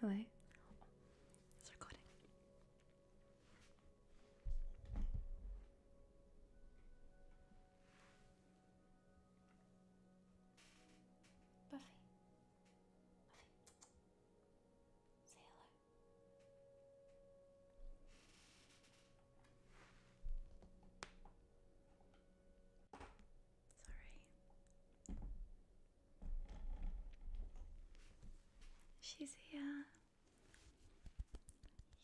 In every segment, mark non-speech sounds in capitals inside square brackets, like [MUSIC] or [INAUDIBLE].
Hello. Oh, recording. Buffy. Buffy. Say hello. Sorry. She's here.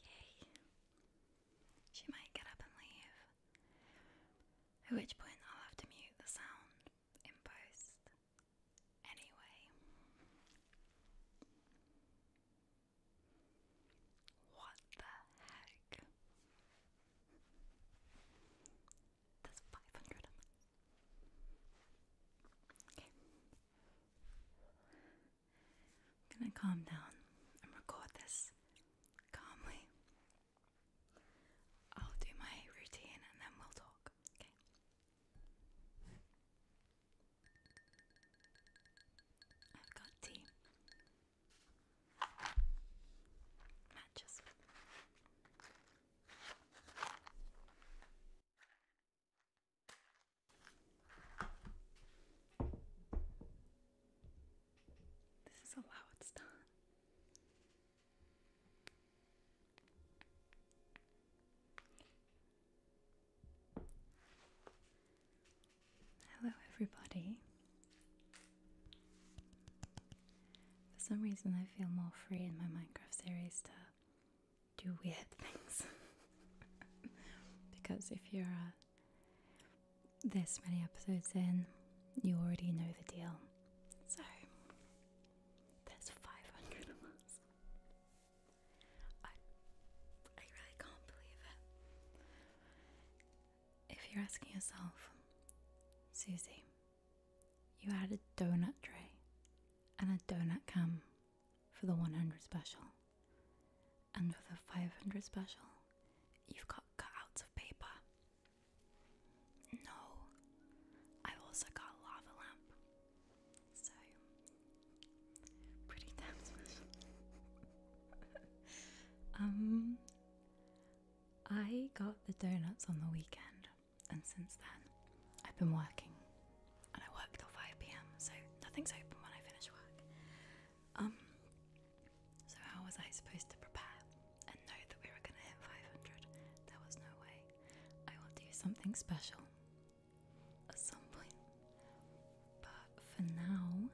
Yay. She might get up and leave. At which point I'll have to mute the sound in post. Anyway. What the heck? That's 500 Okay. I'm gonna calm down and record this calmly. I'll do my routine and then we'll talk, okay? I've got tea matches. This is how it's done. Hello, everybody. For some reason, I feel more free in my Minecraft series to do weird [LAUGHS] things. because if you're uh, this many episodes in, you already know the deal. So, there's 500 of us. I really can't believe it. If you're asking yourself, Susie, you had a donut tray and a donut cam for the 100 special, and for the 500 special, you've got cutouts of paper. No, i also got a lava lamp, so pretty damn special. [LAUGHS] um, I got the donuts on the weekend, and since then, I've been working, and I work till five pm, so nothing's open when I finish work. Um, so how was I supposed to prepare and know that we were going to hit five hundred? There was no way. I will do something special at some point, but for now,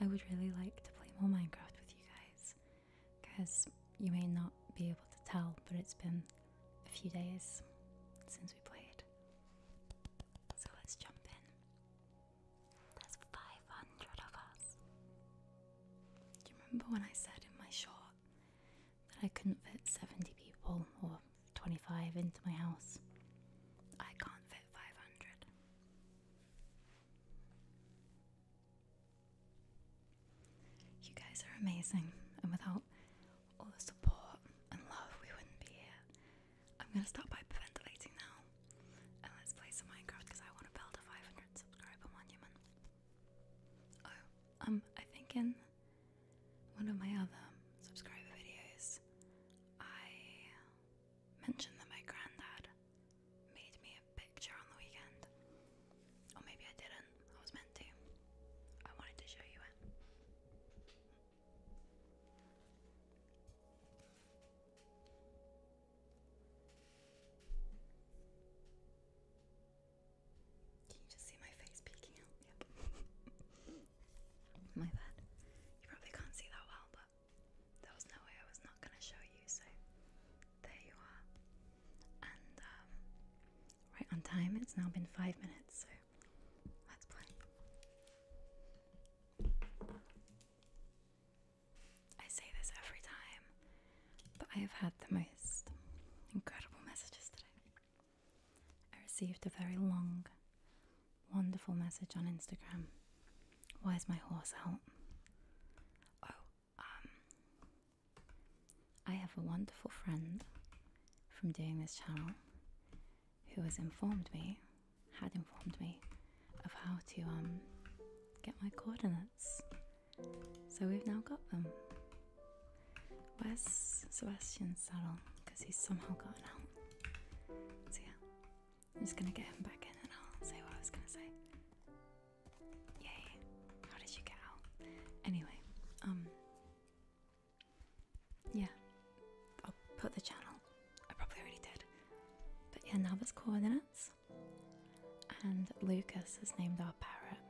I would really like to play more Minecraft with you guys because you may not be able to tell, but it's been a few days since we played. So let's jump in. There's 500 of us. Do you remember when I said in my short that I couldn't fit 70 people or 25 into my house? I can't fit 500. You guys are amazing, and without all the support and love, we wouldn't be here. I'm gonna start by ventilating now, and let's play some Minecraft because I want to build a 500 subscriber monument. Oh, um, I think in one of my other subscriber videos, I mentioned that my granddad made me a picture on the weekend. Or maybe I didn't, I was meant to. I wanted to show you it. Can you just see my face peeking out? [LAUGHS] my bad. You probably can't see that well, but there was no way I was not going to show you. So there you are. And um, right on time, it's now been five minutes. So let's play. I say this every time, but I have had the most incredible messages today. I received a very long Wonderful message on Instagram. Why is my horse out? Oh, um, I have a wonderful friend from doing this channel who has informed me, had informed me, of how to um get my coordinates. So we've now got them. Where's Sebastian's saddle? Because he's somehow gone out. So yeah, I'm just gonna get him back in and I'll say what I was gonna say. Yay. How did you get out? Anyway, um Yeah. I'll put the channel. I probably already did. But yeah, now it's coordinates. And Lucas has named our parrot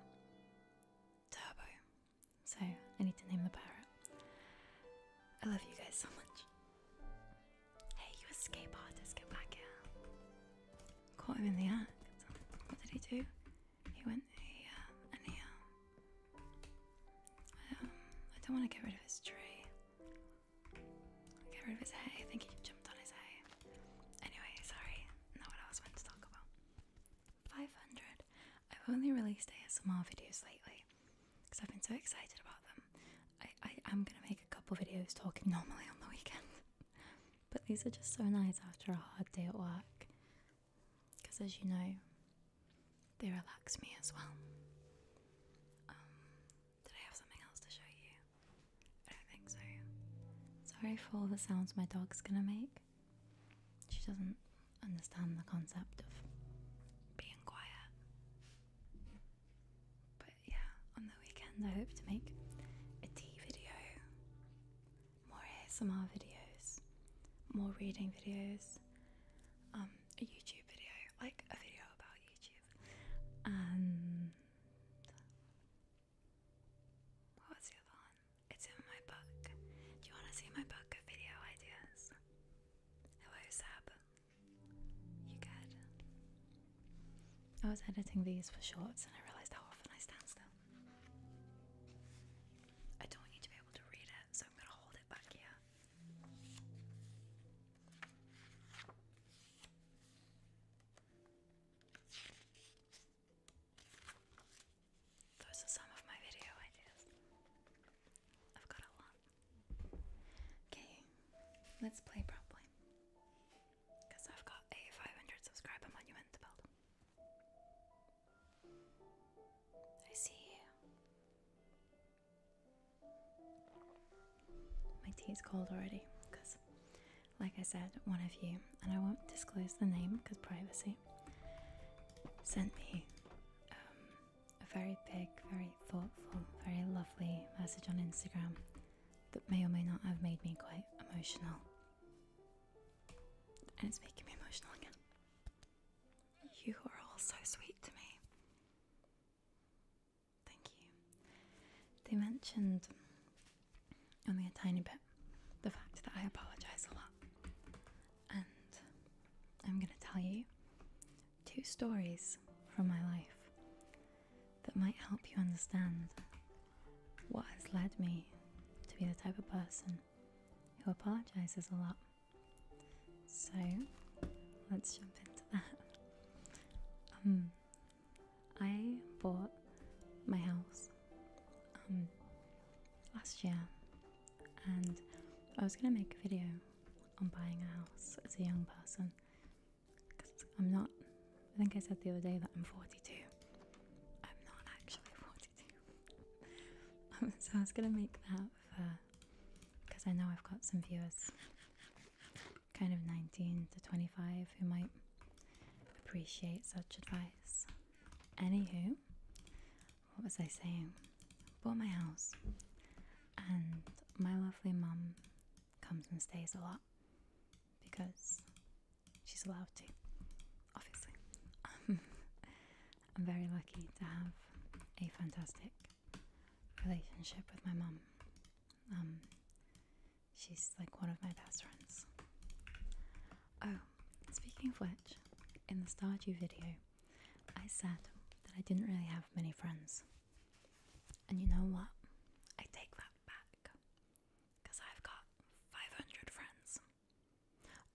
Turbo. So I need to name the parrot. I love you guys so much. Hey, you escape artist, get back here. Caught him in the act. What did he do? He went here uh, and here. Um, um, I don't want to get rid of his tree. Get rid of his hay. I think he jumped on his hay. Anyway, sorry. Not what I was meant to talk about. 500. I've only released ASMR videos lately because I've been so excited about them. I, am gonna make a couple videos talking normally on the weekend. [LAUGHS] but these are just so nice after a hard day at work. Because as you know, they relax me as well. Um, did I have something else to show you? I don't think so. Sorry for all the sounds my dog's gonna make. She doesn't understand the concept of being quiet yeah, on the weekend I hope to make a tea video, more ASMR videos, more reading videos, um, a YouTube video, like a video about YouTube, and what was the other one? It's in my book. Do you want to see my book of video ideas? Hello, Sab. You good? I was editing these for shorts and I realised how often I stand still. I don't want to be able to read it, so I'm going to hold it back here. Those are some of my video ideas. I've got a lot. Okay, let's play properly. Because I've got a 500 subscriber monument to build. I see you. My tea's cold already because, like I said, one of you, and I won't disclose the name because privacy, sent me um, a very big, very thoughtful, very lovely message on Instagram that may or may not have made me quite emotional. And it's making me emotional again. You are all so sweet to me. Thank you. They mentioned only a tiny bit the fact that I apologise a lot. And I'm going to tell you two stories from my life that might help you understand what has led me to be the type of person who apologizes a lot. So let's jump into that. Um, I bought my house um, last year and I was going to make a video on buying a house as a young person I'm not, I think I said the other day that I'm 42. I'm not actually [LAUGHS] 42. Um, so I was going to make that because I know I've got some viewers kind of 19 to 25 who might appreciate such advice. Anywho, what was I saying? Bought my house, and my lovely mum comes and stays a lot because she's allowed to, obviously. [LAUGHS] I'm very lucky to have a fantastic relationship with my mum. Um, she's like one of my best friends. Oh, speaking of which, in the Stardew video, I said that I didn't really have many friends. And you know what? I take that back because I've got 500 friends.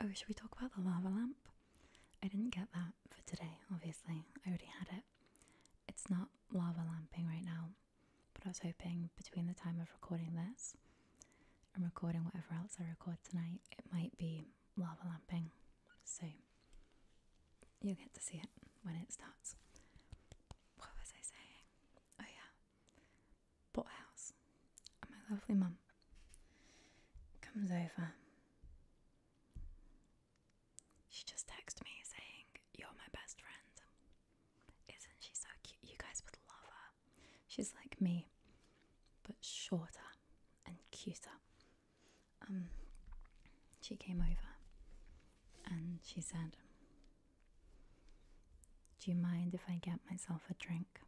Oh, should we talk about the lava lamp? I didn't get that for today, obviously. I already had it. It's not lava lamping right now, but I was hoping between the time of recording this and recording whatever else I record tonight, it might be lava lamping. So you'll get to see it when it starts. What was I saying? Oh, yeah. Bought house. And my lovely mum comes over. She just texted me saying, You're my best friend. Isn't she so cute? You guys would love her. She's like me, but shorter and cuter. Um, she came over and she said, Do you mind if I get myself a drink?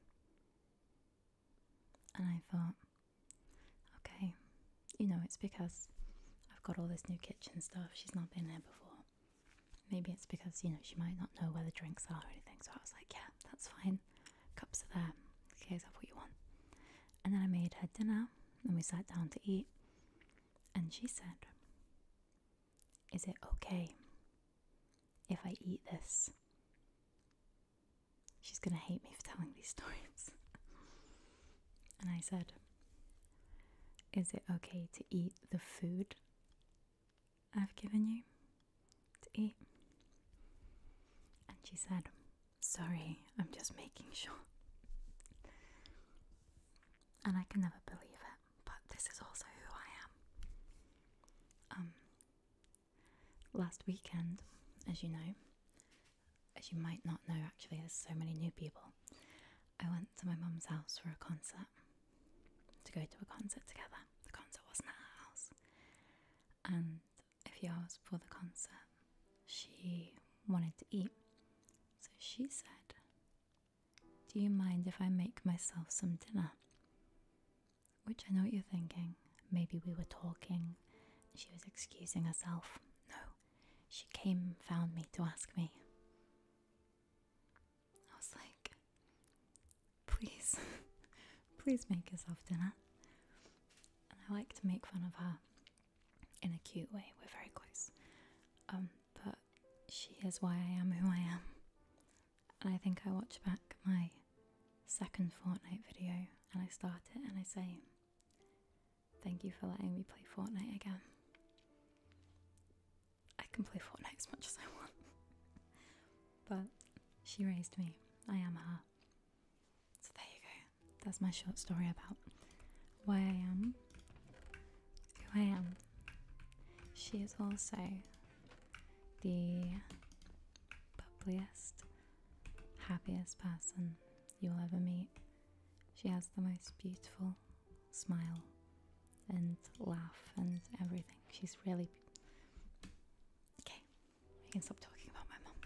And I thought, okay, you know, it's because I've got all this new kitchen stuff, she's not been there before. Maybe it's because, you know, she might not know where the drinks are or anything. So I was like, yeah, that's fine. Cups are there. Here's have what you want. And then I made her dinner and we sat down to eat. And she said, Is it okay if I eat this? She's going to hate me for telling these stories. [LAUGHS] and I said, Is it okay to eat the food I've given you to eat? And she said, Sorry, I'm just making sure and I can never believe it, but this is also who I am. Um, last weekend, as you know, as you might not know actually, there's so many new people. I went to my mum's house for a concert to go to a concert together. The concert wasn't at her house, and a few hours before the concert, she wanted to eat, so she said, Do you mind if I make myself some dinner? Which I know what you're thinking. Maybe we were talking. She was excusing herself. No, she came, found me to ask me. I was like, Please, [LAUGHS] please make yourself dinner. And I like to make fun of her in a cute way. We're very close. Um, but she is why I am who I am. And I think I watch back my second Fortnite video and I start it and I say, Thank you for letting me play Fortnite again. I can play Fortnite as much as I want. [LAUGHS] but she raised me. I am her. So there you go that's my short story about why I am, who I am. She is also the bubbliest, happiest person you'll ever meet. She has the most beautiful smile and laugh and everything. She's really. Okay, we can stop talking about my mom.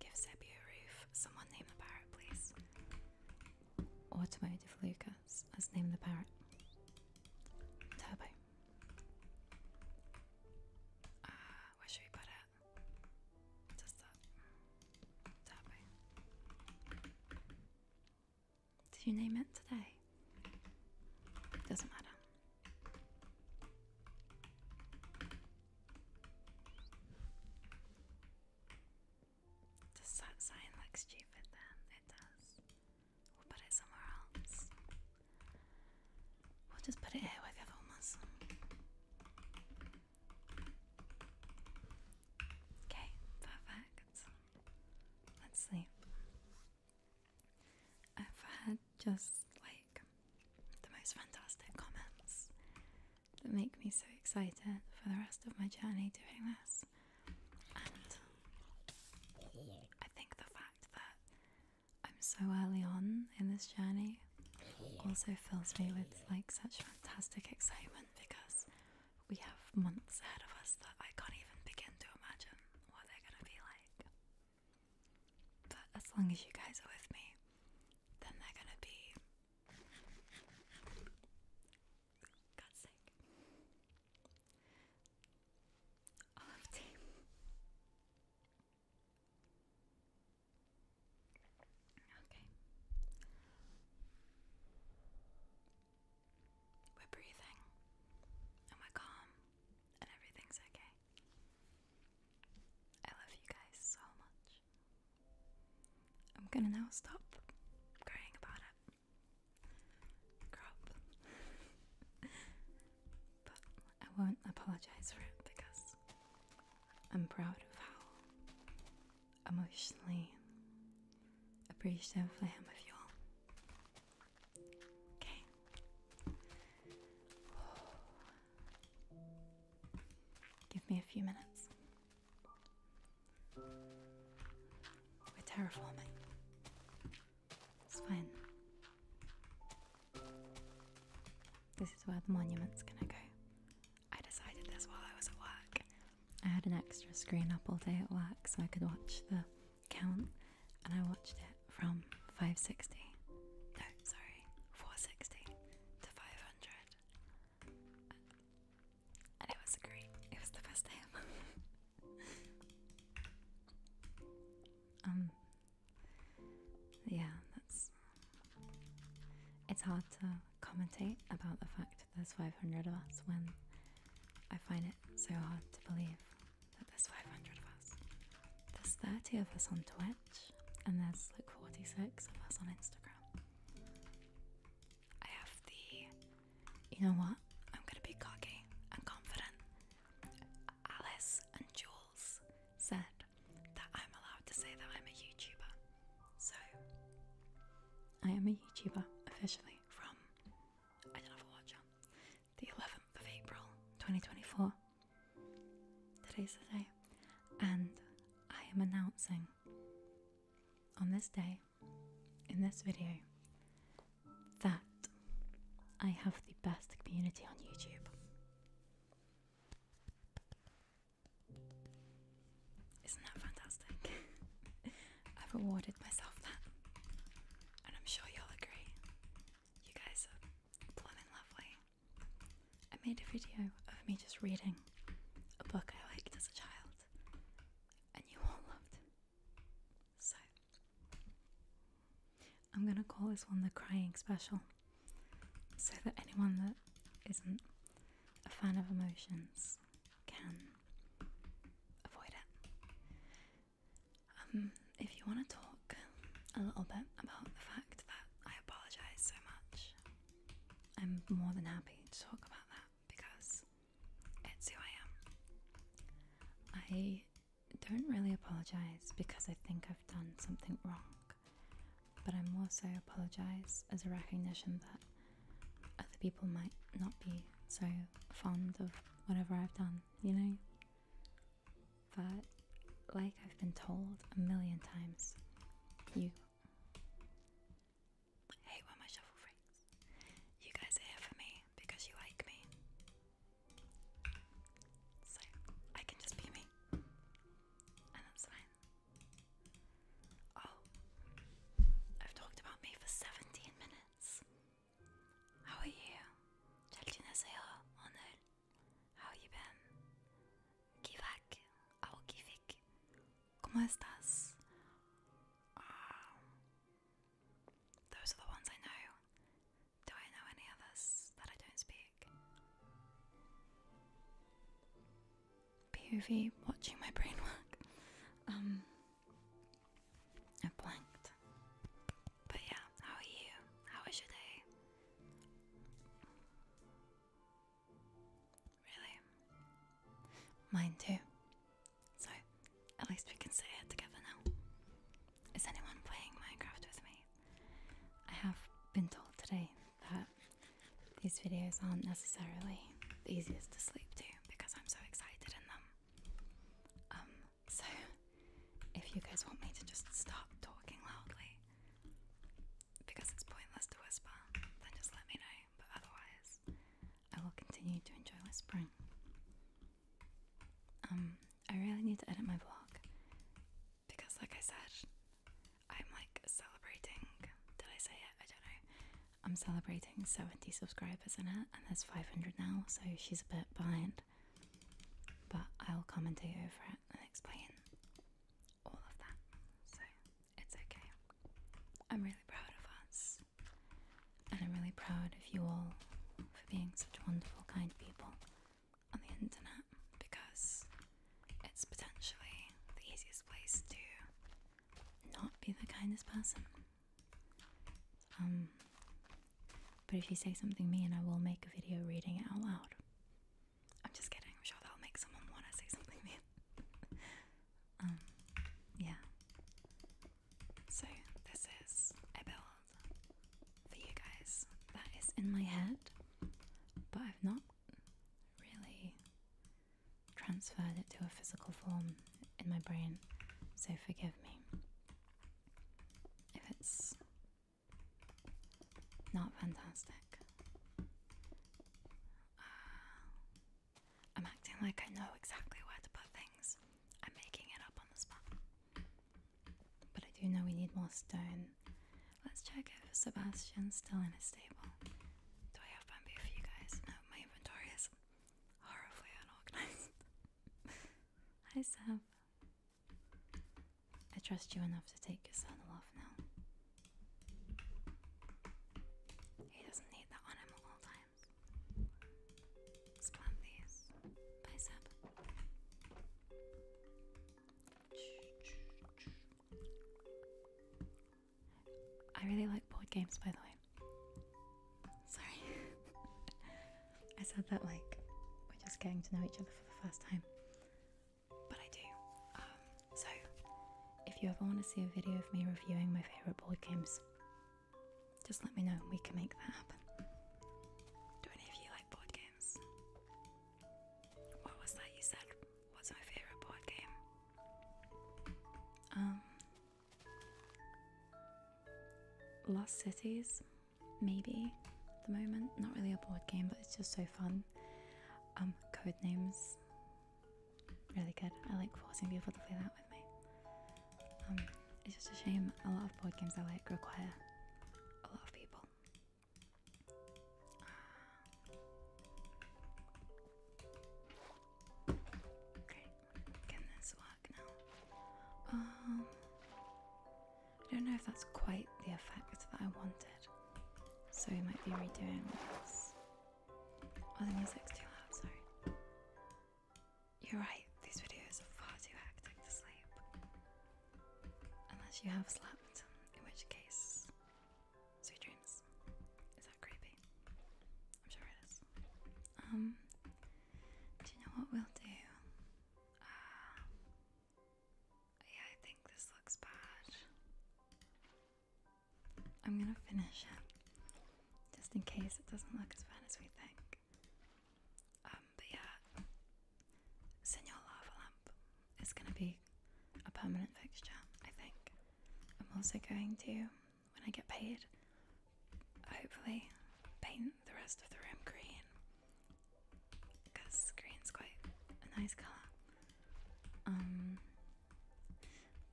Give Zebby a roof. Someone name the parrot, please. Automotive Lucas. Let's name the parrot. Turbo. Ah, where should we put it? Just that. Turbo. Did you name it today? Doesn't matter. Does that sign look stupid then? It does. We'll put it somewhere else. We'll just put it here with the other ones. Okay, perfect. Let's sleep. I've had just like the most fantastic comments that make me so excited for the rest of my journey doing this. And I think the fact that I'm so early on in this journey also fills me with like such fantastic excitement because we have months ahead of us that I can't even begin to imagine what they're going to be like. But as long as you guys are with me, then they're going to be Got sick. Olive tea. Okay. We're breathing and we're calm and everything's okay. I love you guys so much. I'm gonna now stop crying about it. Crap. [LAUGHS] but I won't apologize for it because I'm proud of how emotionally appreciative I am of you all. Okay. [SIGHS] Oh, Give me a few minutes. We're terraforming. It's fine. This is where the monument's gonna go. I decided this while I was at work. I had an extra screen up all day at work so I could watch the count, and I watched it from 560. No, sorry, 460 to 500. And it was great. It was the best day [LAUGHS] um yeah, that's it's hard to commentate about the fact that there's 500 of us when I find it so hard to believe that there's 500 of us. There's 30 of us on Twitter and there's like 46 of us on Instagram. I have the, you know what? I'm gonna be cocky and confident. Alice and Jules said that I'm allowed to say that I'm a YouTuber. So, I am a YouTuber officially from, I don't know if I watch the 11th of April 2024. Today's the day, and I am announcing on this day, in this video, that I have the best community on YouTube. Isn't that fantastic? [LAUGHS] I've awarded myself that, and I'm sure you'll agree. You guys are blooming lovely. I made a video of me just reading a book I liked as a child, and you all loved So, I'm gonna call this one the crying special so that anyone that isn't a fan of emotions can avoid it. Um, if you want to talk a little bit about the fact that I apologise so much I'm more than happy to talk about that because it's who I am. I don't really apologize because I think I've done something wrong, but I'm also apologize as a recognition that other people might not be so fond of whatever I've done, you know? But like I've been told a million times, you Hey, when my shovel breaks. You guys are here for me because you like me. So I can just be me. And that's fine. Oh, I've talked about me for 17 minutes. How are you? 잘 지내세요, 오늘? How you been? Kivak, oh Kivik, ¿cómo estás? Um, those are the ones I know. Do I know any others that I don't speak? POV, watching my brain work. Um, I blanked. But yeah, how are you? How was your day? Really? Mine too. So, at least we can sit here together now. Is anyone playing Minecraft with me? I have been told today that these videos aren't necessarily the easiest to sleep to because I'm so excited in them. Um, so if you guys want me to just stop talking loudly, because it's pointless to whisper, then just let me know, but otherwise, I will continue to enjoy whispering. Um, I really need to edit my vlog because, like I said, I'm like celebrating. Did I say it? I don't know. I'm celebrating 70 subscribers in it, and there's 500 now, so she's a bit behind. But I'll commentate over it and explain all of that. So it's okay. I'm really proud of us. And I'm really proud of you all for being such wonderful, kind people on the internet because it's potentially the easiest place to not be the kindest person. Um, but if you say something mean, I will make a video reading it out loud. I'm just kidding. I'm sure that'll make someone want to say something mean. [LAUGHS] um, yeah. So this is a build for you guys that is in my head, but I've not really transferred it to a physical form in my brain. So forgive me if it's not fantastic. Uh, I'm acting like I know exactly where to put things. I'm making it up on the spot. But I do know we need more stone. Let's check if Sebastian's still in his stable. Do I have bamboo for you guys? No, my inventory is horribly unorganized. [LAUGHS] Hi, Seb. I trust you enough to take your saddle off now. He doesn't need that on him at all times. let Bicep. I really like board games, by the way. Sorry. [LAUGHS] I said that like we're just getting to know each other for the first time but I do. Um, so, if you ever want to see a video of me reviewing my favourite board games, just let me know and we can make that happen. Do any of you like board games? What was that you said? What's my favourite board game? Um, Lost Cities, maybe. At the moment, not really a board game, but it's just so fun. Um, code names. Really good. I like forcing people to play that with me. Um, it's just a shame a lot of board games I like require a lot of people. can this work now? Um, I don't know if that's quite the effect that I wanted. So we might be redoing this. Oh, the music's too loud, sorry. You're right, these videos are far too hectic to sleep. Unless you have slept, in which case, sweet dreams. Is that creepy? I'm sure it is. Um, do you know what we'll do? Uh, yeah, I think this looks bad. I'm gonna finish it just in case it doesn't look as bad as we think. Um, but yeah, Senor Lava Lamp is gonna be a permanent fixture, I think. I'm also going to, when I get paid, hopefully paint the rest of the room green because green's quite a nice colour. Um,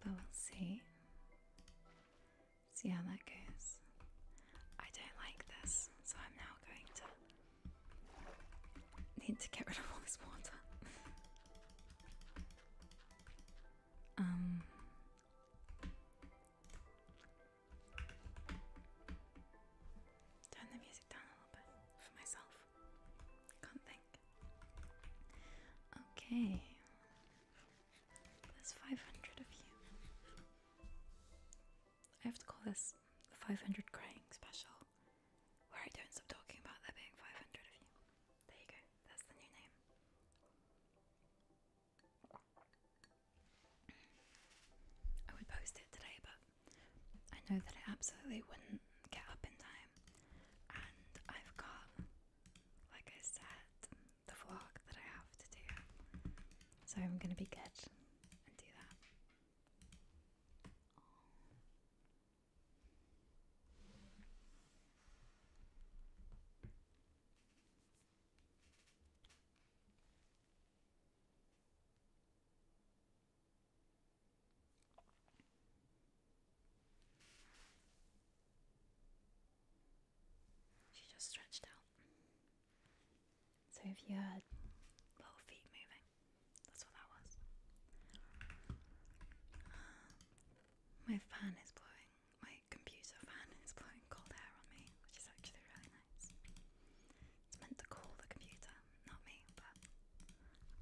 but we'll see. See how that goes. I don't like this, so I'm now going to need to get rid of all this water. [LAUGHS] Um, turn the music down a little bit for myself. Can't think. Okay. There's 500 of you. I have to call this the 500 crying special, where I don't stop talking about there being 500 of you. There you go, that's the new name. I would post it today, but I know that I absolutely wouldn't get up in time. And I've got, like I said, the vlog that I have to do. So I'm gonna be good and do that. She just stretched out. So if you heard little feet moving, that's what that was. [GASPS] My fan is blowing, my computer fan is blowing cold air on me, which is actually really nice. It's meant to cool the computer, not me, but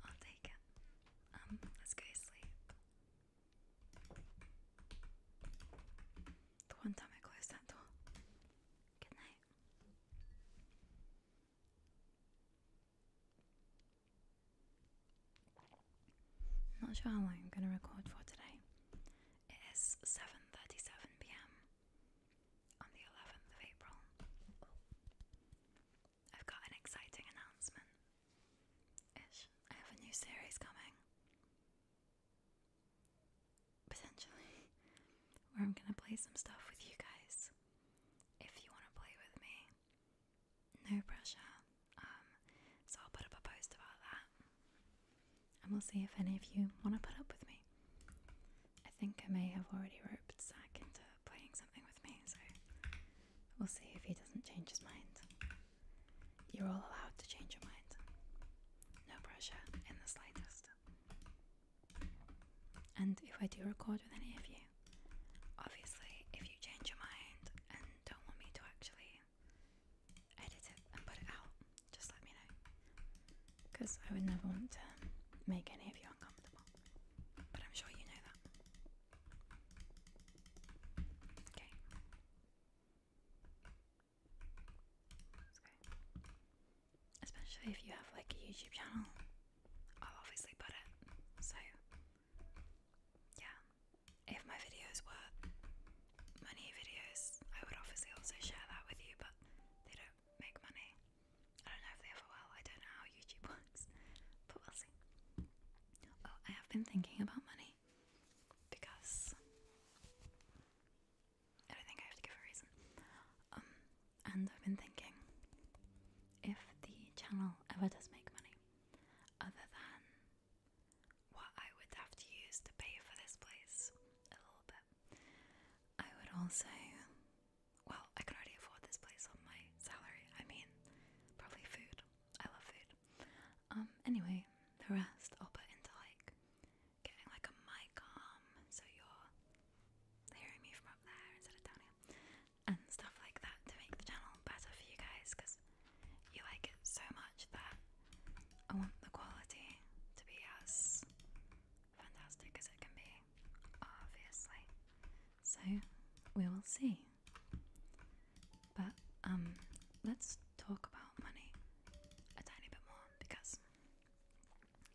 I'll take it. Um, this guy sleep. The one time I closed that door. Good night. am not sure how long I'm going to record for today. It is 7:37 p.m. on the 11th of April. I've got an exciting announcement. Ish, I have a new series coming. Potentially, [LAUGHS] where I'm gonna play some stuff with you guys. If you want to play with me, no pressure. Um, so I'll put up a post about that, and we'll see if any of you want to put up with me. I think I may have already roped Zach playing something with me, so we'll see if he doesn't change his mind. You're all allowed to change your mind. No pressure in the slightest. And if I do record with any of you, obviously, if you change your mind and don't want me to actually edit it and put it out, just let me know. Because I would never want to make any of you uncomfortable. But I'm sure you know that. Okay. okay. Especially if you have like a YouTube channel. I'll obviously put it. So yeah. If my videos worth money videos, I would obviously also share that with you, but they don't make money. I don't know if they ever will. I don't know how YouTube works, but we'll see. Oh, I have been thinking about money because I think I have to give a reason. Um, and I've been thinking if the channel ever does make money, other than what I would have to use to pay for this place a little bit, I would also well, I could already afford this place on my salary. I mean, probably food. I love food. Um, anyway, the rest I'll put into like getting like a mic arm so you're hearing me from up there instead of down here and stuff like that to make the channel better for you guys because you like it so much that I want the quality to be as fantastic as it can be, obviously. So we will see. But um let's talk about money a tiny bit more because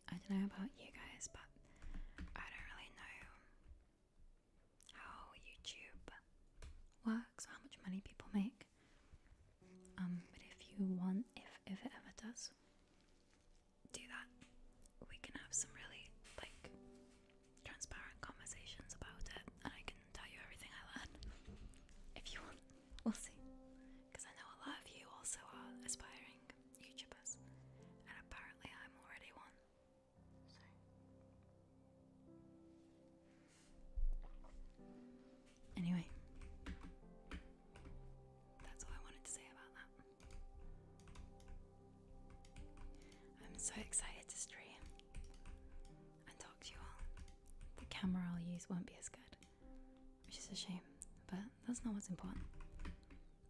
I don't know about you guys, but I don't really know how YouTube works, how much money people make. Um, but if you want, if if it ever does, do that, we can have some really like transparent conversations about it, and I can tell you everything I learn if you want. We'll see, because I know a lot of you also are aspiring YouTubers, and apparently I'm already one. So. Anyway, that's all I wanted to say about that. I'm so excited to stream and talk to you all. The camera I'll use won't be as good, which is a shame, but that's not what's important.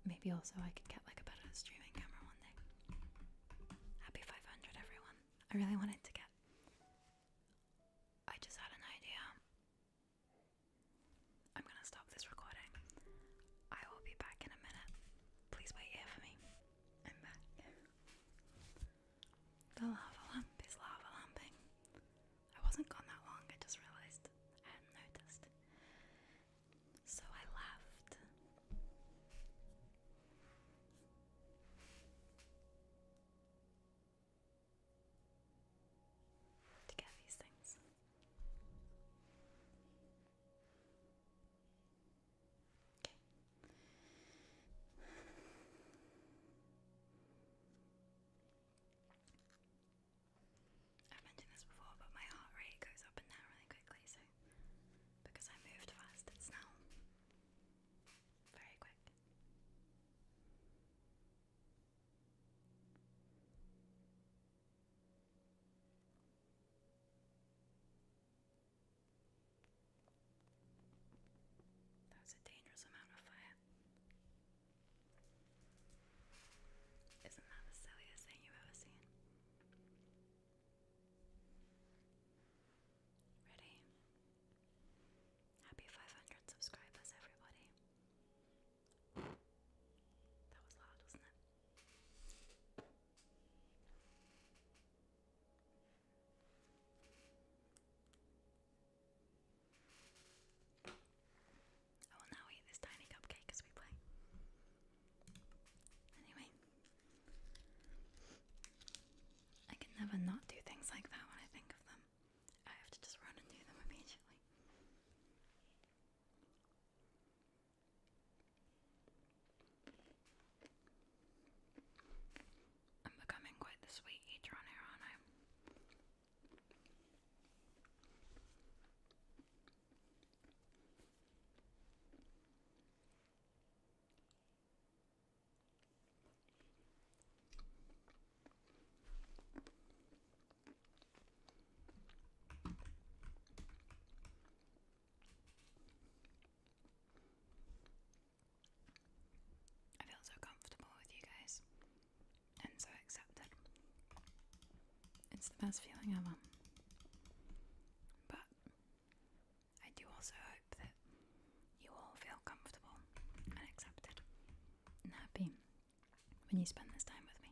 Maybe also I could get like a better streaming camera one day. Happy 500, everyone. I really wanted to get. I just had an idea. I'm gonna stop this recording. I will be back in a minute. Please wait here for me. I'm back. The lava lamp is lava lamping. I wasn't gone that long, I just realised I hadn't noticed. So I laughed. To get these things. Okay. I've mentioned this before, but my heart rate goes up and down really quickly, so because I moved fast, it's now very quick. That's a dangerous amount of fire. Isn't that the silliest thing you've ever seen? Ready? Happy 500 subscribers, everybody. That was loud, wasn't it? I will now eat this tiny cupcake as we play. Anyway, I can never not do things like that when I think of them. I have to just run and do them immediately. I'm becoming quite the sweet eater on here, aren't I? I feel so comfortable with you guys and so accepted. It's the best feeling ever. But I do also hope that you all feel comfortable and accepted and happy when you spend this time with me.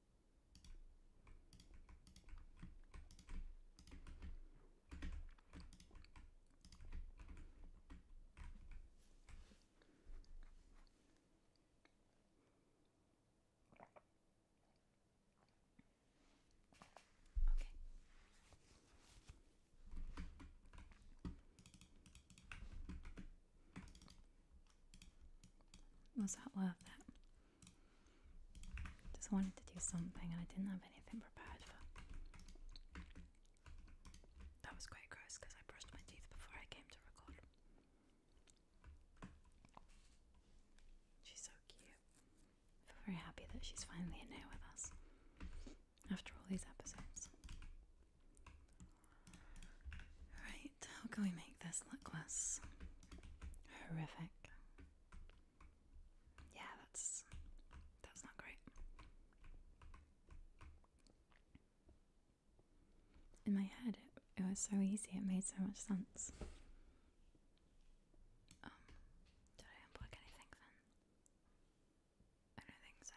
Okay. Was that love that? Just wanted to do something and I didn't have anything prepared for. That was quite gross because I brushed my teeth before I came to record. She's so cute. I feel very happy that she's finally in here with us after all these episodes. Right how can we make this look less horrific? Yeah, that's that's not great. In my head, it, was so easy. It made so much sense. Um, did I unplug anything then? I don't think so.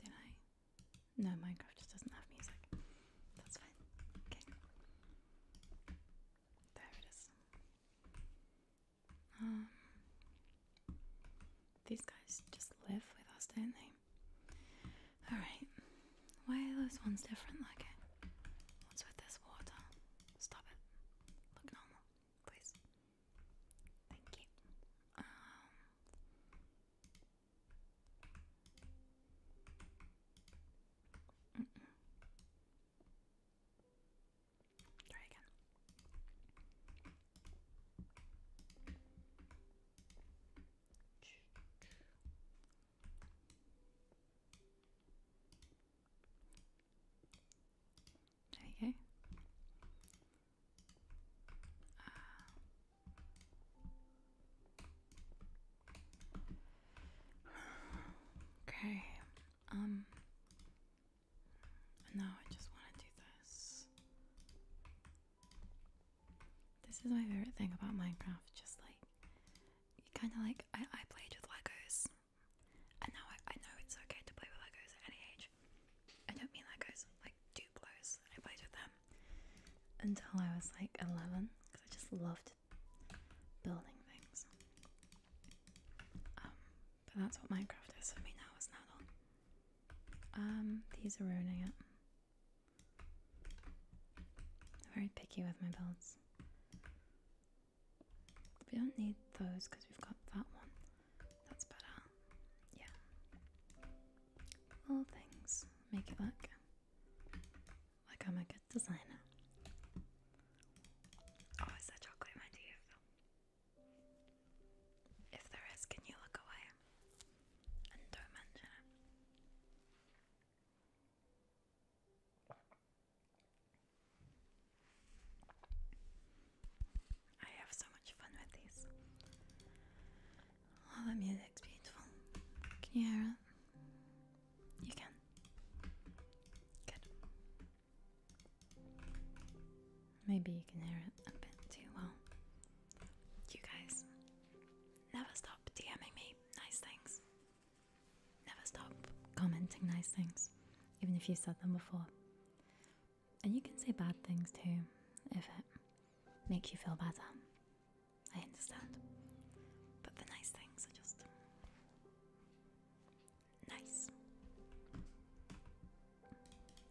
Did I? No, Minecraft just doesn't have music. That's fine. Okay. There it is. Um, these guys just live with us, don't they? Alright. Why are those ones different? Like, okay. what's with this water? Stop it. Look normal, please. Thank you. Um, try again. There uh, okay. Um. No, I just want to do this. This is my favorite thing about Minecraft. Just like kind of like I I played with Legos, and now I I know it's okay to play with Legos at any age. I don't mean like I like too close. I played with them until I was like 11 because I just loved building things. Um, but that's what Minecraft is for me now as an adult. Um, these are ruining it. I'm very picky with my builds. We don't need those because we've got that one. That's better. Yeah. All things make it look like I'm a good designer. Oh, is there chocolate in my teeth? If there is, can you look away and don't mention it? I have so much fun with these. Oh, the music's beautiful. Can you hear it? You can. Good. Maybe you can hear it a bit too well. You guys never stop DMing me nice things. Never stop commenting nice things, even if you said them before. And you can say bad things too if it makes you feel better. I understand. But the nice things are just nice.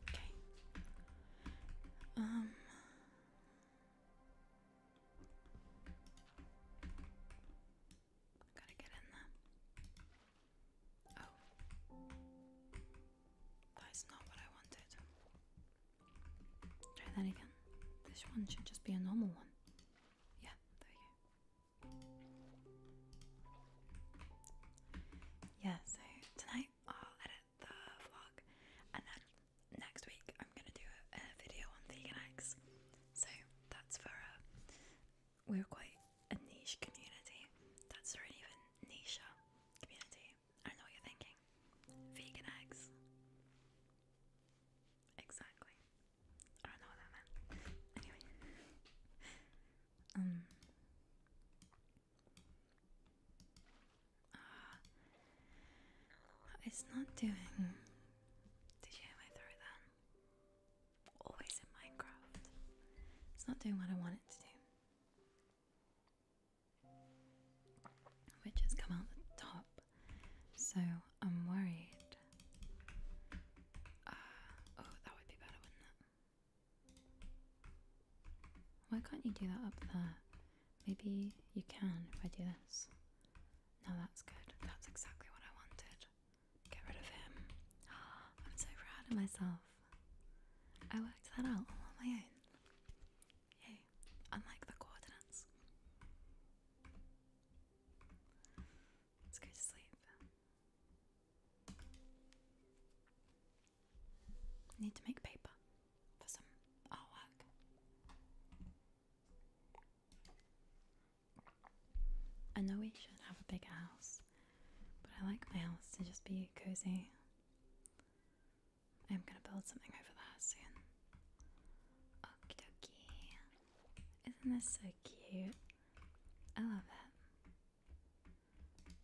Okay. Um Gotta get in there. Oh. That's not what I wanted. Try that again. This one should just be a normal one. Yeah, there you go. Yeah, so tonight I'll edit the vlog and then next week I'm gonna do a, video on vegan eggs. So that's for a uh, we're quite a niche community. That's not even niche community. I know what you're thinking. Vegan eggs. Exactly. I don't know what that meant. Anyway. Um. Ah. Uh, it's not doing. Did you hear throw then? Always in Minecraft. It's not doing what I want it to do which has come out the top. So I'm worried. Uh, oh, that would be better, wouldn't it? Why can't you do that up there? Maybe you can if I do this. No, that's good. That's exactly what I wanted. Get rid of him. [GASPS] I'm so proud of myself. I worked that out all on my own. Yay, unlike the coordinates. Let's go to sleep. Need to make paper for some artwork. I know we should have a big house, but I like my house to just be cozy. I'm gonna build something over there soon. Okie Isn't this so cute? I love it.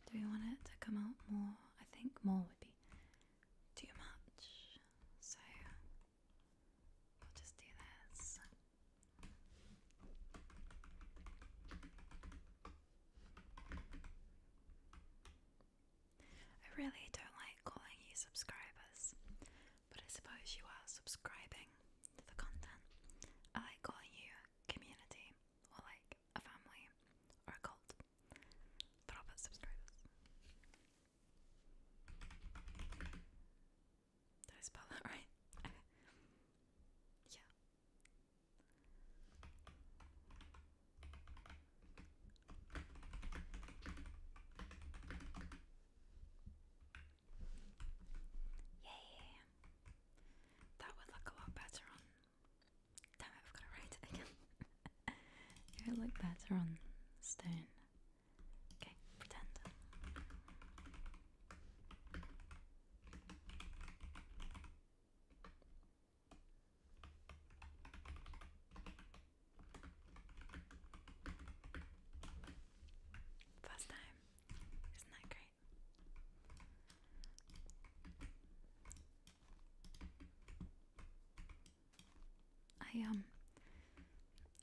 Do we want it to come out more? I think more would be too much. So we'll just do this. I really don't like calling you subscribers, but I suppose you are subscribing to the content. I like calling you community or like a family or a cult, but I'll put subscribers. Did I spell that [LAUGHS] right? [LAUGHS] yeah. Yay! That would look a lot better on. Damn it, I've got to write again. [LAUGHS] it would look better on stone. Okay, pretend. First time. Isn't that great? I um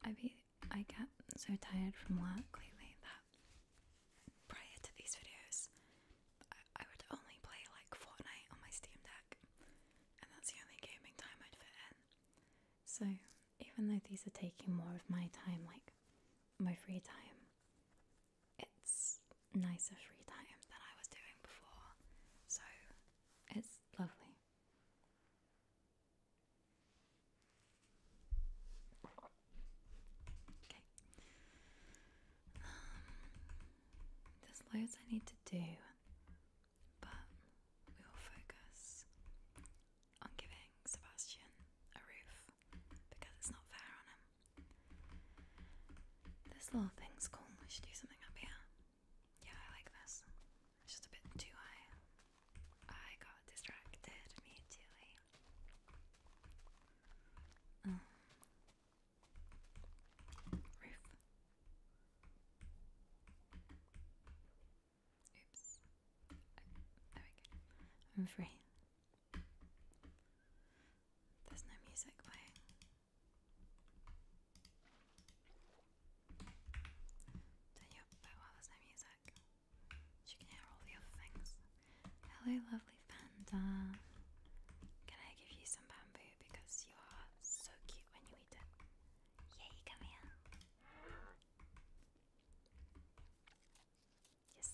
I be I get so tired from work lately that prior to these videos I would only play like Fortnite on my Steam Deck, and that's the only gaming time I'd fit in. So, even though these are taking more of my time, like my free time, it's nicer free time than I was doing before. So, it's lovely. Okay. Um, there's loads I need to do, but we will focus on giving Sebastian a roof because it's not fair on him. This little thing's cool. We should do something up here. Yeah, I like this. It's just a bit too high. I got distracted immediately. Um, Roof. Oops. there we go. I'm free. There's no music playing. Turn you up while there's no music. So can hear all the things. Hello, lovely lovely Can I give you some bamboo because you are so cute when you eat it? Yay, come here. Yes.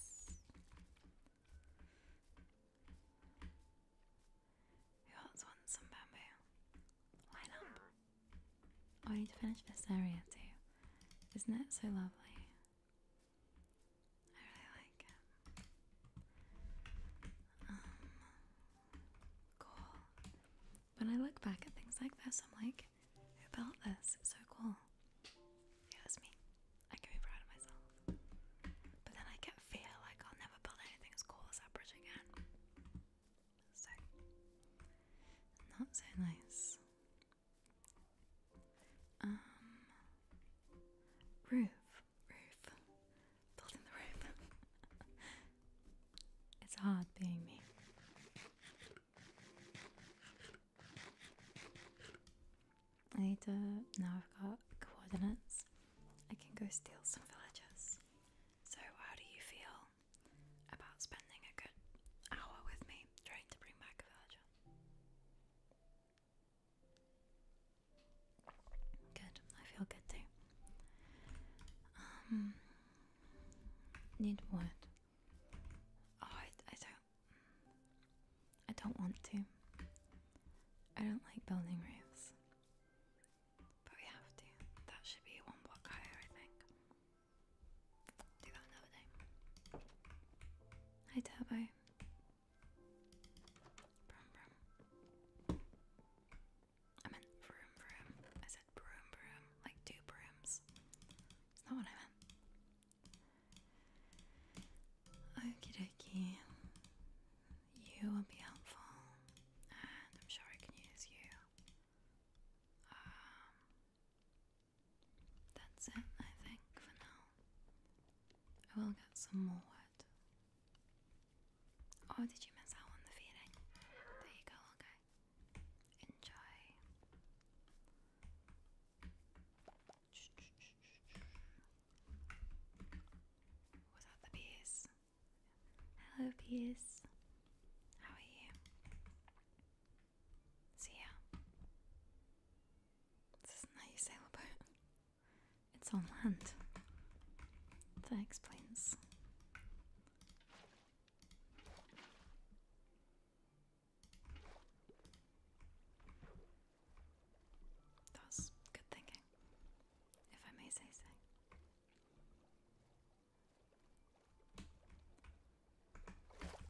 Who else wants some bamboo? Line up. Oh, I need to finish this area too. Isn't it so lovely? I really like it. Um, cool. When I look back at things like this, I'm like, who built this? so cool. it was me. I can be proud of myself. But then I get fear like I'll never build anything as cool as that bridge again. So, not so nice. Um, roof roof. Building the roof. [LAUGHS] it's hard being me. I need to. Now I've got coordinates. I can go steal some villagers. So, how do you feel about spending a good hour with me trying to bring back a villager? Good. I feel good too. Um, need what? Oh, I, don't. I don't want to. I don't like building roofs. But we have to. That should be one block higher, I think. Do that another day. Hi, Turbo. I meant broom, broom. I said broom, broom. Like two brooms. It's not what I meant. Okie dokie. You will be helpful, and I'm sure I can use you. Um, that's it, I think, for now. I will get some more Oh, did you miss out on the feeling? There you go, okay. Enjoy. What's up, the bees? Hello, bees. How are you? See ya. This is nice sailboat. It's on land. That explains. That was good thinking, if I may say so.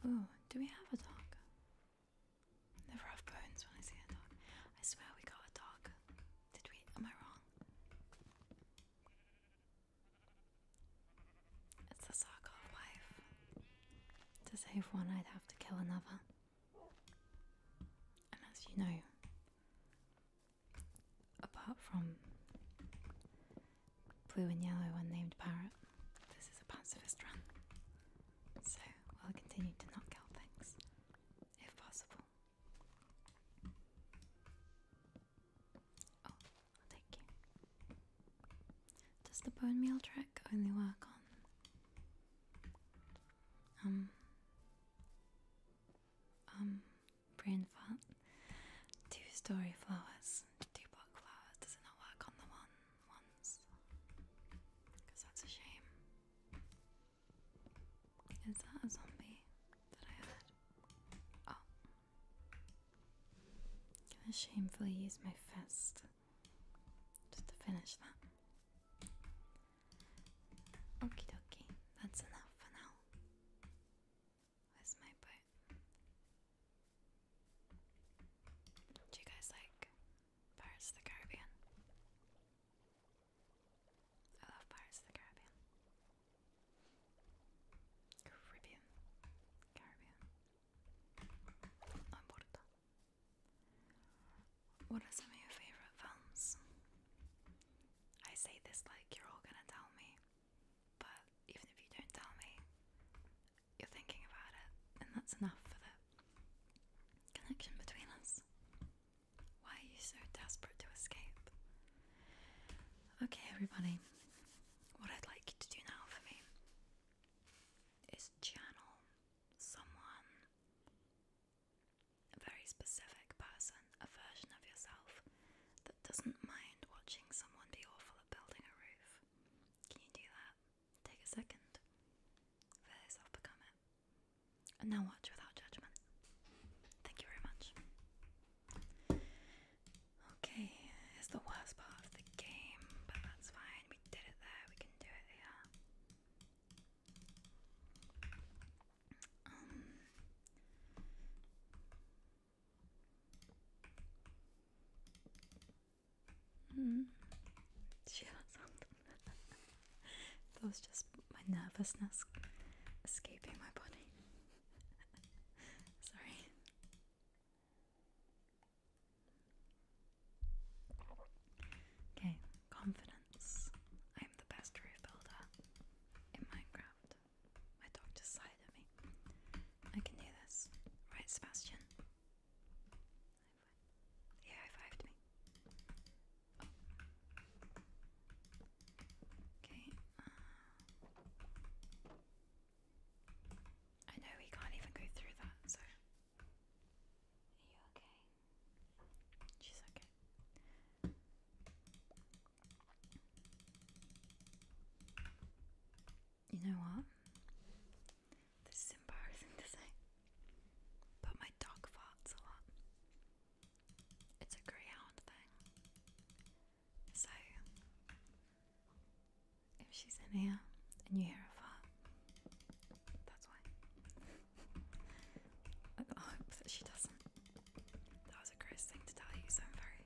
Oh, do we have a dog? The rough bones when I see a dog. I swear we got a dog. Did we? Am I wrong? It's the Sarkov To save one, I'd have to kill another. And as you know, apart from blue and yellow unnamed parrot, this is a pacifist run. So we'll continue to not kill things if possible. Oh, thank you. Does the bone meal trick only work on um um brain fat? Two story flowers, two block flowers. Does it not work on the one ones? Because that's a shame. Is that a zombie that I had? Oh. I'm gonna shamefully use my fist just to finish that. Okie dokie, that's enough for now. Where's my boat? Do you guys like Pirates of the Caribbean? I love Pirates of the Caribbean. Caribbean. Caribbean. No What are some of your favourite films? I say this like you're all gonna tell me, but even if you don't tell me, you're thinking about it, and that's enough for the connection between us. Why are you so desperate to escape? Okay, everybody, what I'd like you to do now for me is channel someone, a very specific person, a version of yourself that doesn't mind watching someone be awful at building a roof. Can you do that? Take a second. For this, I'll become and now watch without judgment. Thank you very much. Okay, it's the worst part of the game, but that's fine. We did it there, we can do it here. Um. Hmm. [LAUGHS] that was just my nervousness escaping my body. [LAUGHS] Sorry. Okay, confidence. I am the best roof builder in Minecraft. My dog just me. I can do this. Right, Sebastian? Yeah, revived me. Okay. Uh, I know we can't even go through that, so. Are you okay? She's okay. You know what? This is embarrassing to say. But my dog farts a lot. It's a greyhound thing. So, if she's in here and you hear a fart, that's why. [LAUGHS] I hope that she doesn't. That was a gross thing to tell you, so I'm very,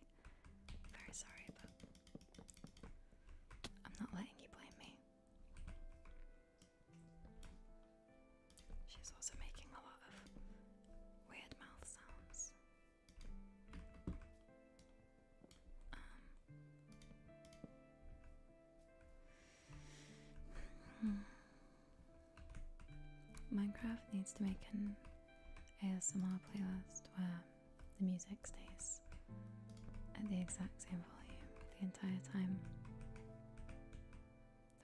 very sorry, but I'm not letting you blame me. She's also making a lot of weird mouth sounds. Um, Minecraft needs to make an ASMR playlist where the music stays at the exact same volume the entire time.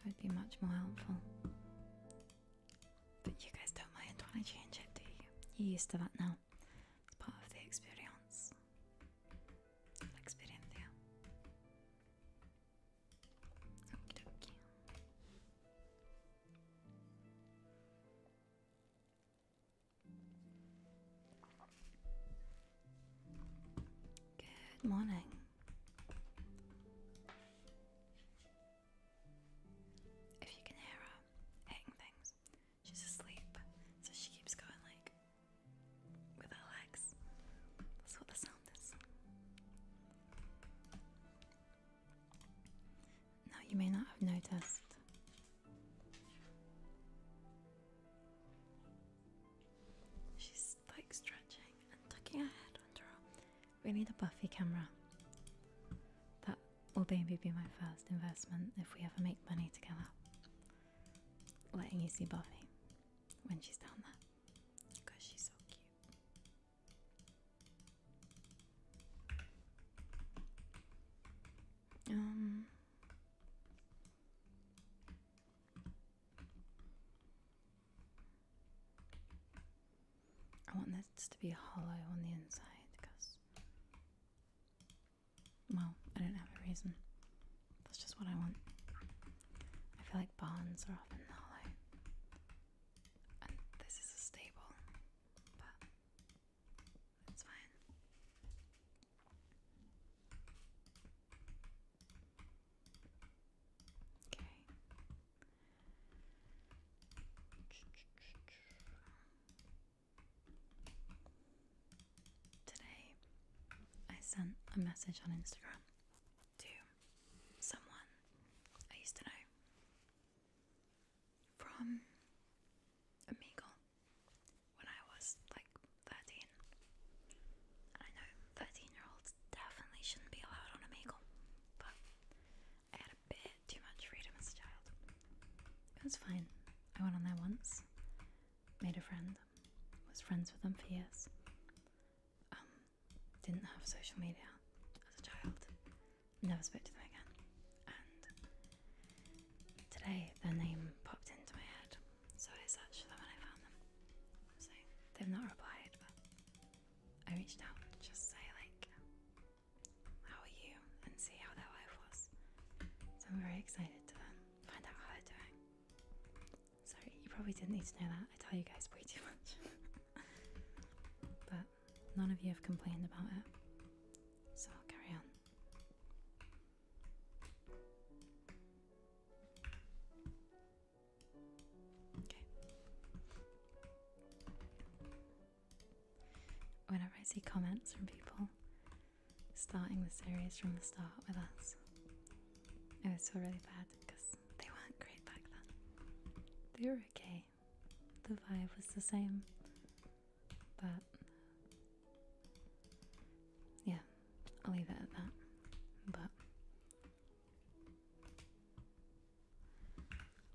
That would be much more helpful. But you guys don't mind when I change it, do you? You're used to that now. It's part of the experience. Experiencia. Okie dokie. Good morning. If you can hear her hitting things, she's asleep, so she keeps going like with her legs. That's what the sound is. Now you may not have noticed. She's like stretching and tucking her head under We need a buffy camera. That will maybe be my first investment if we ever make money together. Letting you see Buffy when she's down there. Because she's so cute. Um I want this to be hollow on the inside because, well, I don't have a reason. That's just what I want. I feel like barns are often hollow. And this is a stable, but it's fine. Okay. Today, I sent a message on Instagram to someone I used to know from Amigo when I was like 13. I know 13 year olds definitely shouldn't be allowed on Omegle, but I had a bit too much freedom as a child. It was fine. I went on there once, made a friend, was friends with them for years. Um, didn't have social media as a child, never spoke to them again. And today their name popped into my head so I searched for them and I found them. So they've not replied, but I reached out and just say like, "How are you?" and see how their life was. So I'm very excited to find out how they're doing. Sorry, you probably didn't need to know that. I tell you guys way too much. [LAUGHS] but none of you have complained about it, so I'll carry on. Whenever I see comments from people starting the series from the start with us, it always feel really bad because they weren't great back then. They were okay. The vibe was the same, but yeah, I'll leave it at that. But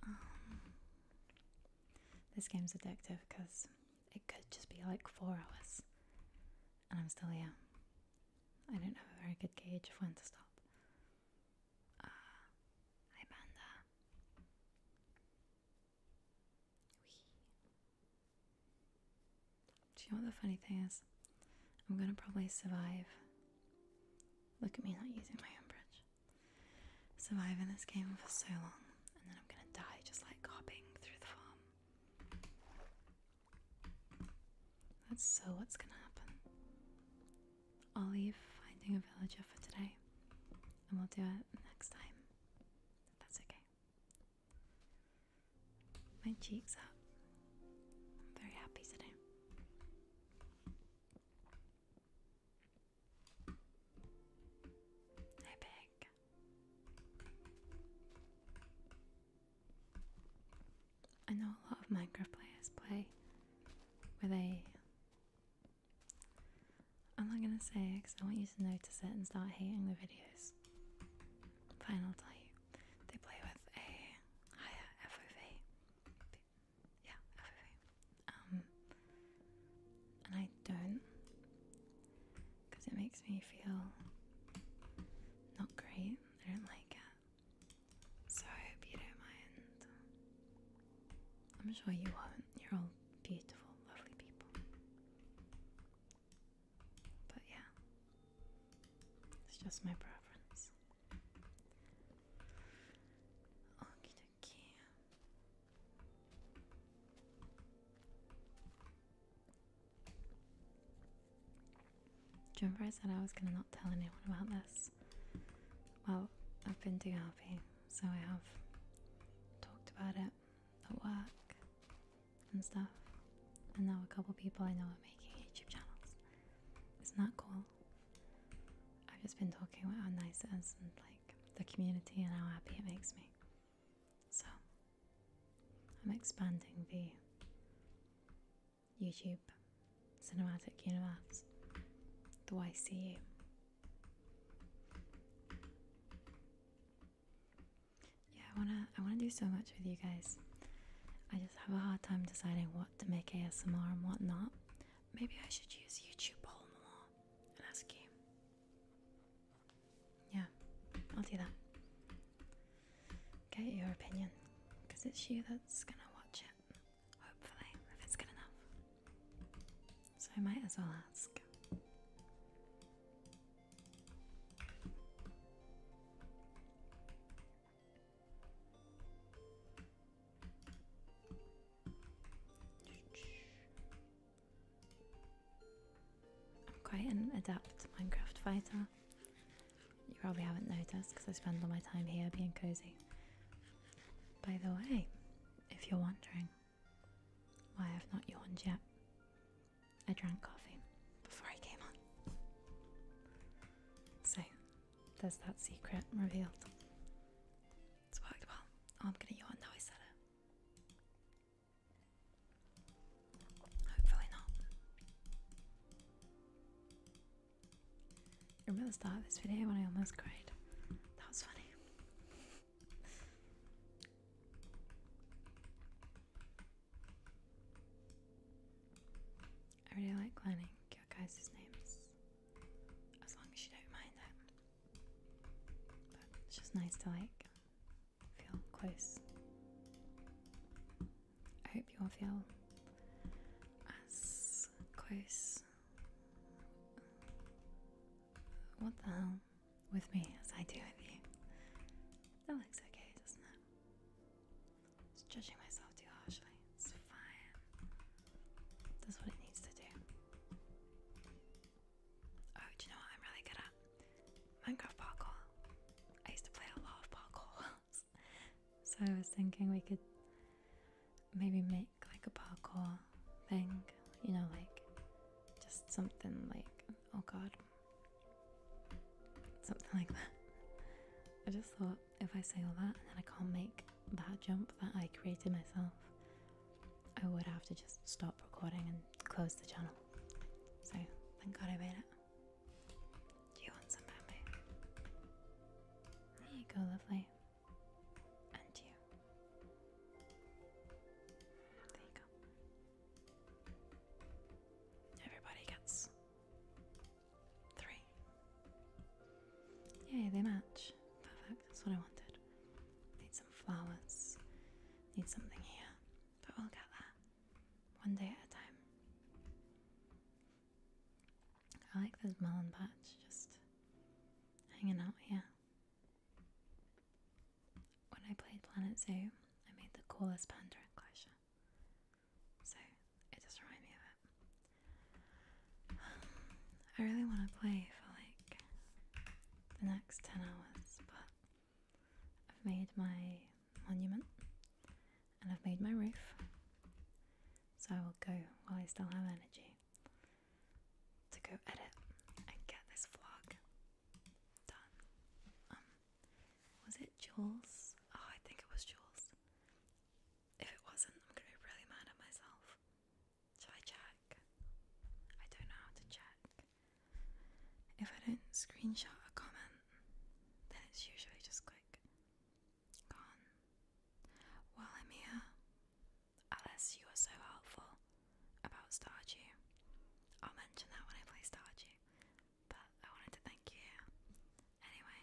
um, this game's addictive because it could just be like four hours, and I'm still here. I don't have a very good gauge of when to stop. hi uh, Panda. Do you know what the funny thing is? I'm gonna probably survive. Look at me not using my own bridge. Survive in this game for so long, and then I'm gonna die just like hopping through the farm. That's so what's gonna happen. I'll leave finding a villager for today, and we'll do it next time. That's okay my cheeks up. I'm very happy today. Hey, Peg. I know a lot of Minecraft players play with a. I'm not gonna say it because I want you to notice it and start hating the videos. But I'll tell you. They play with a higher FOV. Yeah, FOV. Um, and I don't because it makes me feel not great. I don't like it. So I hope you do I'm sure you won't. You're all beautiful, lovely people. But yeah, it's just my preference. Okie remember I said I was gonna not tell anyone about this? Well, I've been too happy, so I have talked about it at work and stuff. And now a couple people I know are making YouTube channels. It's not cool. I've just been talking about how nice it is and like the community and how happy it makes me. So I'm expanding the YouTube cinematic universe, the YCU. Yeah, I wanna I wanna do so much with you guys. I just have a hard time deciding what to make ASMR and what not. Maybe I should use YouTube poll more and ask you. Yeah, I'll do that. Get your opinion, because it's you that's gonna watch it. Hopefully, if it's good enough. So I might as well ask. I'm quite an adept Minecraft fighter. You probably haven't noticed because I spend all my time here being cozy. By the way, if you're wondering why I've not yawned yet, I drank coffee before I came on. So there's that secret revealed. It's worked well. I'm gonna now I said it. Hopefully not. Remember the start of this video when I almost cried? That was funny. I really like planning your guys' names, as long as you don't mind that. But it's just nice to like feel close. I hope you all feel as close. What the hell? With me as I do with you. That looks okay, doesn't it? judging myself too harshly. It's fine. That's what it needs to do. Oh, do you know I'm really good at? Minecraft parkour. I used to play a lot of parkour so I was thinking we could maybe make like a parkour thing. You know, like just something like, oh god, Something like that. I just thought if I say all that and I can't make that jump that I created myself, I would have to just stop recording and close the channel. So thank God I made it. Do you want some bamboo? There you go, lovely. And you. There you go. Everybody gets three. Yay, they match. Perfect, that's what I wanted. Need some flowers. Need something here. But we'll get that One day at a time. I like this melon patch just hanging out here. When I played Planet Zoo, I made the coolest Pandora enclosure. So it does remind me of it. [SIGHS] I really want to play for like the next 10 hours, but I've made my monument and I've made my roof. So I will go while I still have energy to go edit and get this vlog done. Um, was it Jules? Oh, I think it was Jules. If it wasn't, I'm gonna be really mad at myself. Shall I check? I don't know how to check. If I don't screenshot a comment, then it's usually just click gone. While I'm here, Alice, you are so helpful about Stardew. I'll mention that when I play Stardew but I wanted to thank you. Anyway,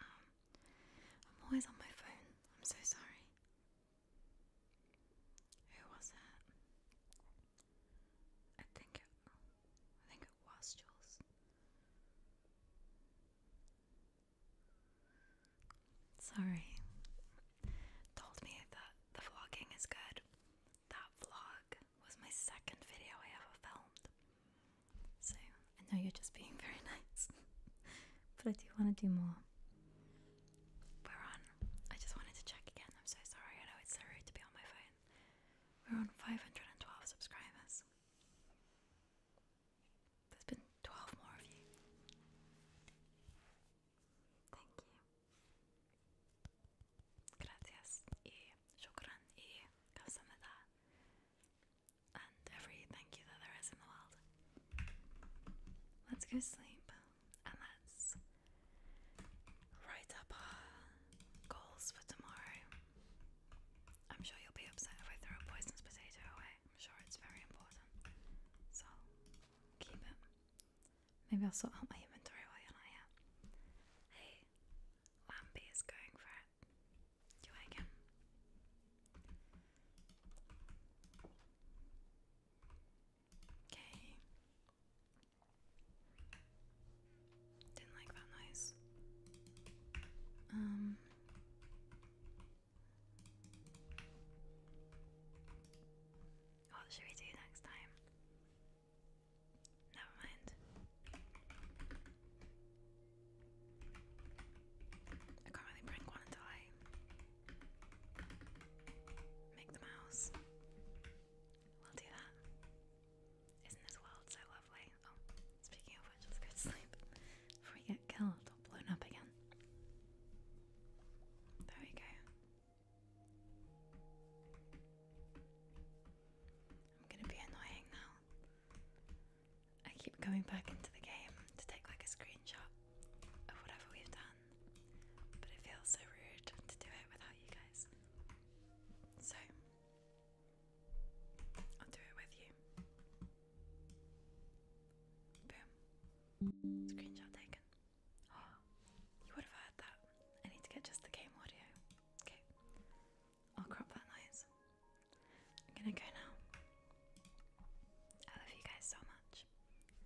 um, I'm always on my phone. I'm so sorry. Who was it? I think I think it was Jules. Sorry. Told me that the vlogging is good. That vlog was my second video I ever filmed. So I know you're just being [LAUGHS] very nice, but I do want to do more. We're on. I just wanted to check again. I'm so sorry. I know it's so rude to be on my phone. We're on 512 subscribers. There's been 12 more of you. Thank you. Gracias shukran i kasamida every thank you that there is in the world. Let's go sleep and let's write up our goals for tomorrow. I'm sure you'll be upset if I throw a poisonous potato away. I'm sure it's very important. So keep it. Maybe I'll sort out my inventory while I'm here. Hey, Lampy is going for it. Do I can? Okay. Didn't like that noise. Um. What should we do next time? Never I can't really bring one until I make the mouse. We'll do that. Isn't this world so lovely? Oh, speaking of which, let's go to sleep before we get killed or blown up again. There we go. I'm gonna be annoying now. I keep coming back into the game to take like a screenshot of whatever we've done, but it feels so rude to do it without you guys. So, I'll do it with you. Boom. Screenshot taken. [GASPS] you would have heard that. I need to get just the game audio. Okay. I'll oh, crop that noise. I'm gonna go now. I love you guys so much.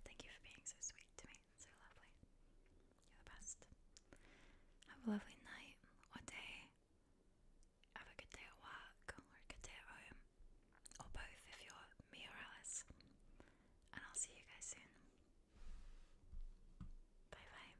Thank you for being so sweet to me, so lovely. You're the best. Have a lovely night or day. Have a good day at work or a good day at home. Or both if you're me or Alice. And I'll see you guys soon. Bye bye.